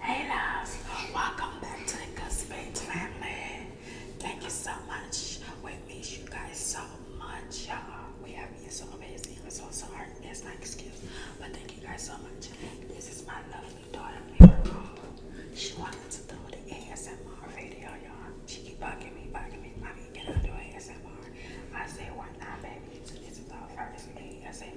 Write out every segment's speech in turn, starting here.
Hey loves, welcome back to the Good Space family. Thank you so much. We miss you guys so much, y'all. We have been so amazing and so sorry. It's not excuse, but thank you guys so much. This is my lovely daughter, She wanted to do the ASMR video, y'all. She keep bugging me, bugging me. I mean, can I do ASMR? I say, why not, baby? So this is our first ASMR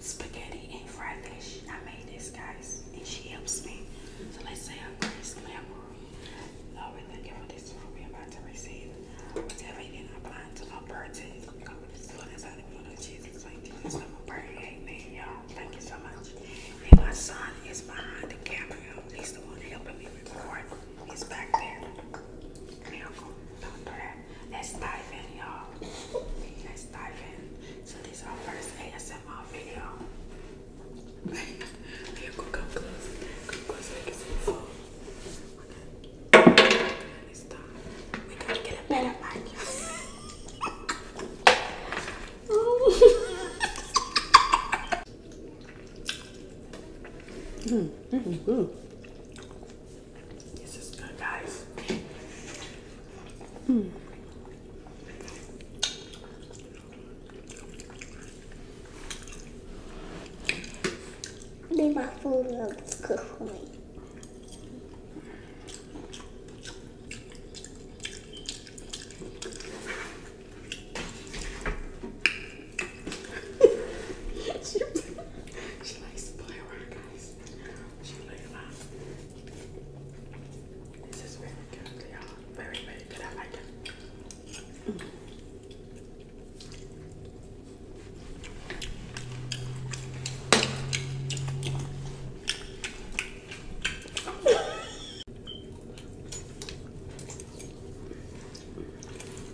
spaghetti and fried fish. I made this, guys, and she helps me. So let's say I'm Grace Glamour. Lord, thank you for this food we're about to receive. Whatever is, I'm blind to no burden. It's going to the Jesus. I'm a burden. Amen, y'all. Thank you so much. And my son is behind the camera. He's the one helping me record. He's back there. Miracle let's dive in, y'all. Let's dive in. So this is our first ASMR video. We gotta get a better mic. mm, this is good, guys. Mm. My food looks good for me. she likes to play around, guys. Something like that. This is very good, yeah. Very, very good. I like it. Mm.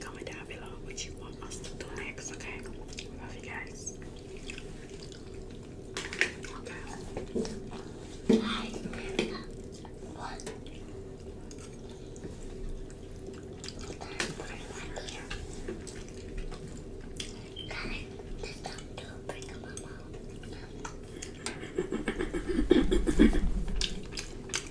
Comment down below what you want us to do next, okay? Love you guys. Okay.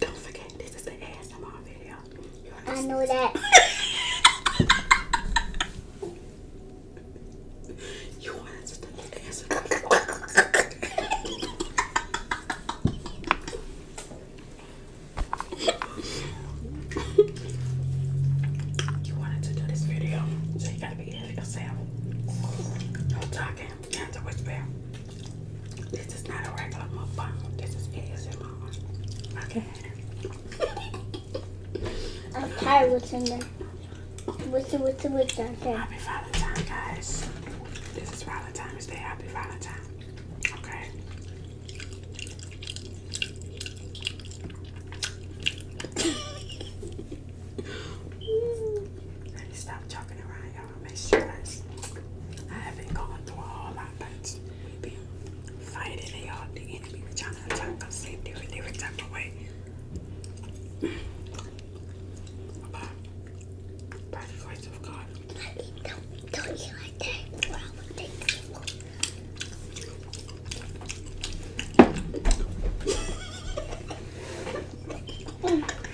Don't forget, this is an ASMR video. I know that. you wanted to do this video, so you gotta be here yourself. No talking, hands to whisper. This is not a regular phone. This is ASMR. Okay. I'm tired what's in there. What's in, what's in, what's in there? Happy Valentine, guys. This is Valentine's Day. Happy Valentine. Okay. Stop talking around gotta make sure I haven't gone through all whole lot, but we've been fighting it all. The enemy been trying to attack us in different, different type of way. About by the grace of God. don't, don't you like that?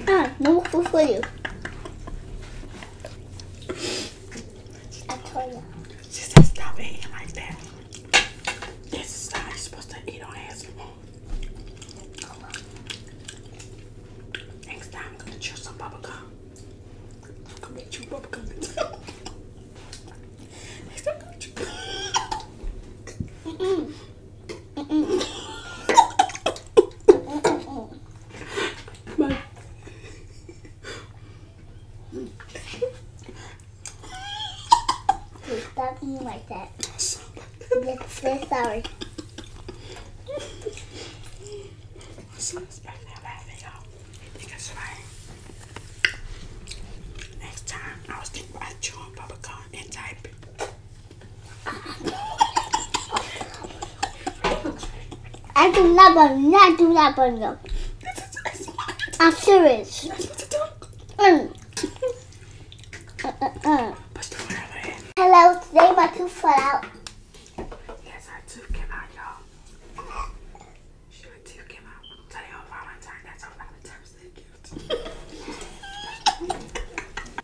Ah, no for you. I told you. She said stop eating like that. This is how you're supposed to eat on hands. Next time I'm gonna chew some bubble gum. I'm gonna make bubble gum. Next time My Stop eating like that. Yes, yes, sorry. Next time, I'll stick by chewing bubblegum and typing. I do not burn. I do not burn them. I'm serious. Mm. Uh, uh, uh. Hello, today my tooth fell out. Yes, her tooth came out, y'all. She tooth came out. Today on Valentine, that's our Valentine's Day gift.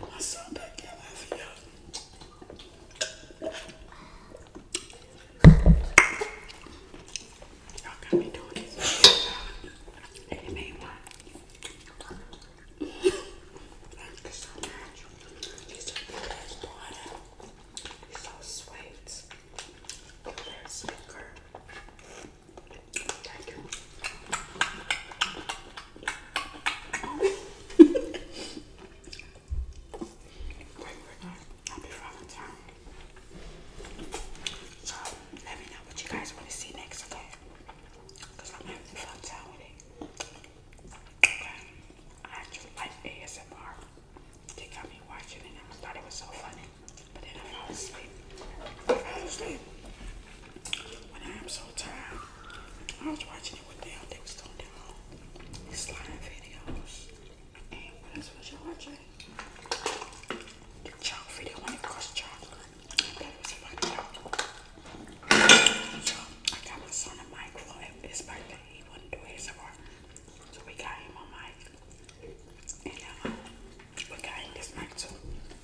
My son back there laughing, y'all. you got me doing this. And it one. Thank so much. These are the best water. So sweet. Great winner. Happy let me know what you guys want to see next, okay? Because I'm having fun time with it. I actually like ASMR. They got me watching it and I thought it was so funny. But then I fell asleep. I fell asleep. I'm so tired, I was watching it with them. They was doing their own slime videos. And what else was watching? The chalk video when it cost chocolate. That was funny. So I got my son a microphone at his birthday. He wouldn't do his work. So we got him a mic. And um, but got in this night too.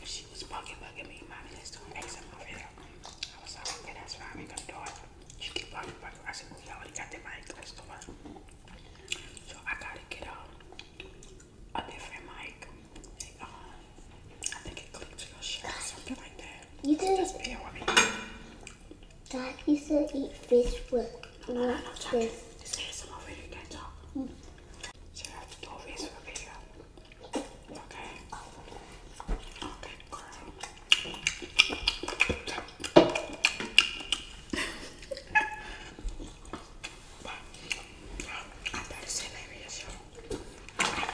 she was bugging, bugging me. Mommy, let's do an X on my I was like, okay, that's fine. i gonna do it. She keep bugging, bugging. I said, well, you already got the mic. Let's do it. So I gotta get a different mic. Uh, I think it clicked to your shirt or something like that. You so just bear with me. Dad used to eat fish with no, uh, this. Just get some over hmm. So I have to do a face a video. Okay. Okay, girl. i was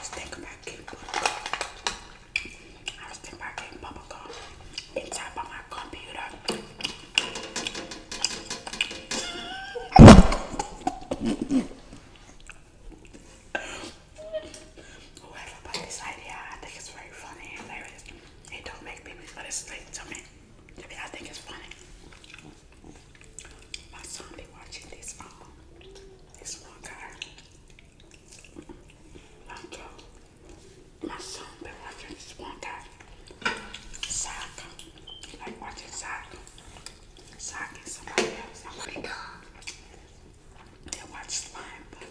thinking about getting I was thinking about getting bubble gum inside by my computer. Whoever put this idea, I think it's very funny and hilarious. It don't make me, but it's like to me. I think it's funny. My son be watching this um, this one guy. Uh, my son been watching this one guy like sock. Like watching sock. Sock is somebody else. Oh my god. They watch slime, but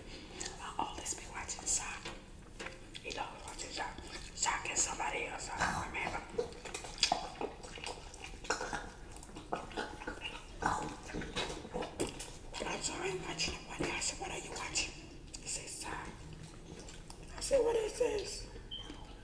I'll uh, always be watching sock. You know, watching sock. Sock is somebody else. I don't remember. I'm sorry, I'm watching one day. I said, What are you watching? He says, Sock. I said, What is this?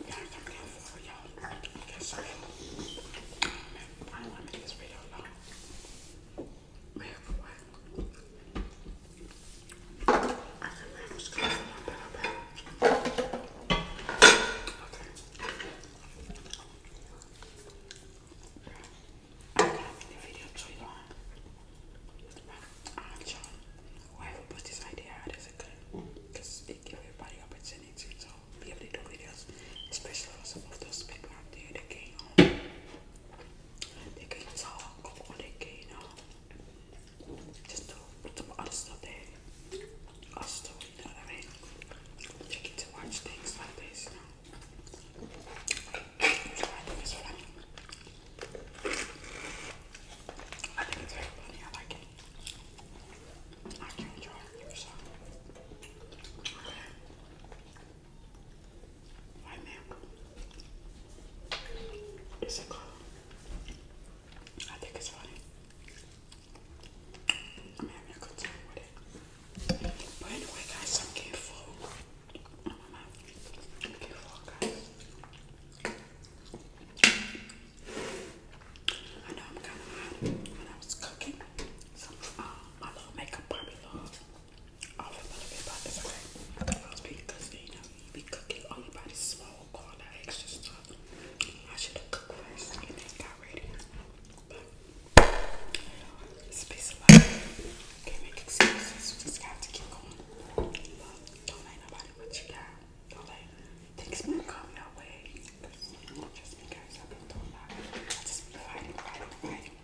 we gotta come down for y'all because um, I don't want to make this video long. We I remember I was going a little bit. Okay. I can't make the video too long. Alright, y'all whoever put this idea out is a good one hmm. because it gives everybody opportunity to be able to do videos, especially for some of those people out there that can't, um, they can't talk or they can't um, just do, do other stuff that us do, you know what I mean? They get to watch things like this, you know? So I think that's what I mean. I think it's very funny. I like it. I can enjoy it. So. Okay. Is it cool? I think it's funny. I'm having a with it. But anyway, guys, I'm getting full. I'm full, I know I'm kind of hot when I was cooking. So uh, my little makeup probably lost off a little bit, but it's okay. Lost because you know you cooking, all your body smoke, extra stuff. I should have cooked first and then got ready. But it's a piece of life. Can't make excuses. just have to keep going. don't let nobody put you down. But like things might come your way. Just because I've been through a just be fighting, fighting, fighting.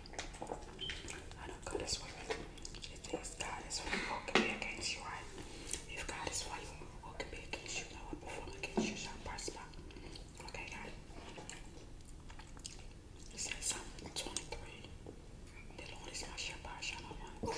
I know God is for you. If God is for you, against you, right? If God is for you, against you? No one perform against you shall prosper. Okay, guys. It says Psalm 23. The Lord is my shepherd, shall I want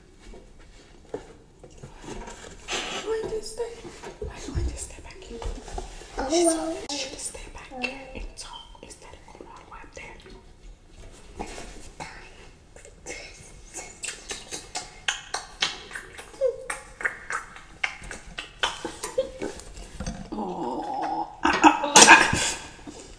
I'm going to stay. I'm going back Oh, she well. should stay back oh, and talk instead of going all there. Oh.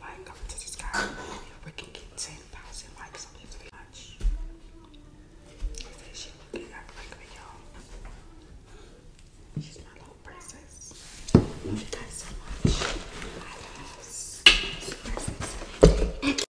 like, comment, and subscribe. If we can get 10,000 likes on this video, She's my little princess. Love you so much. I love princess.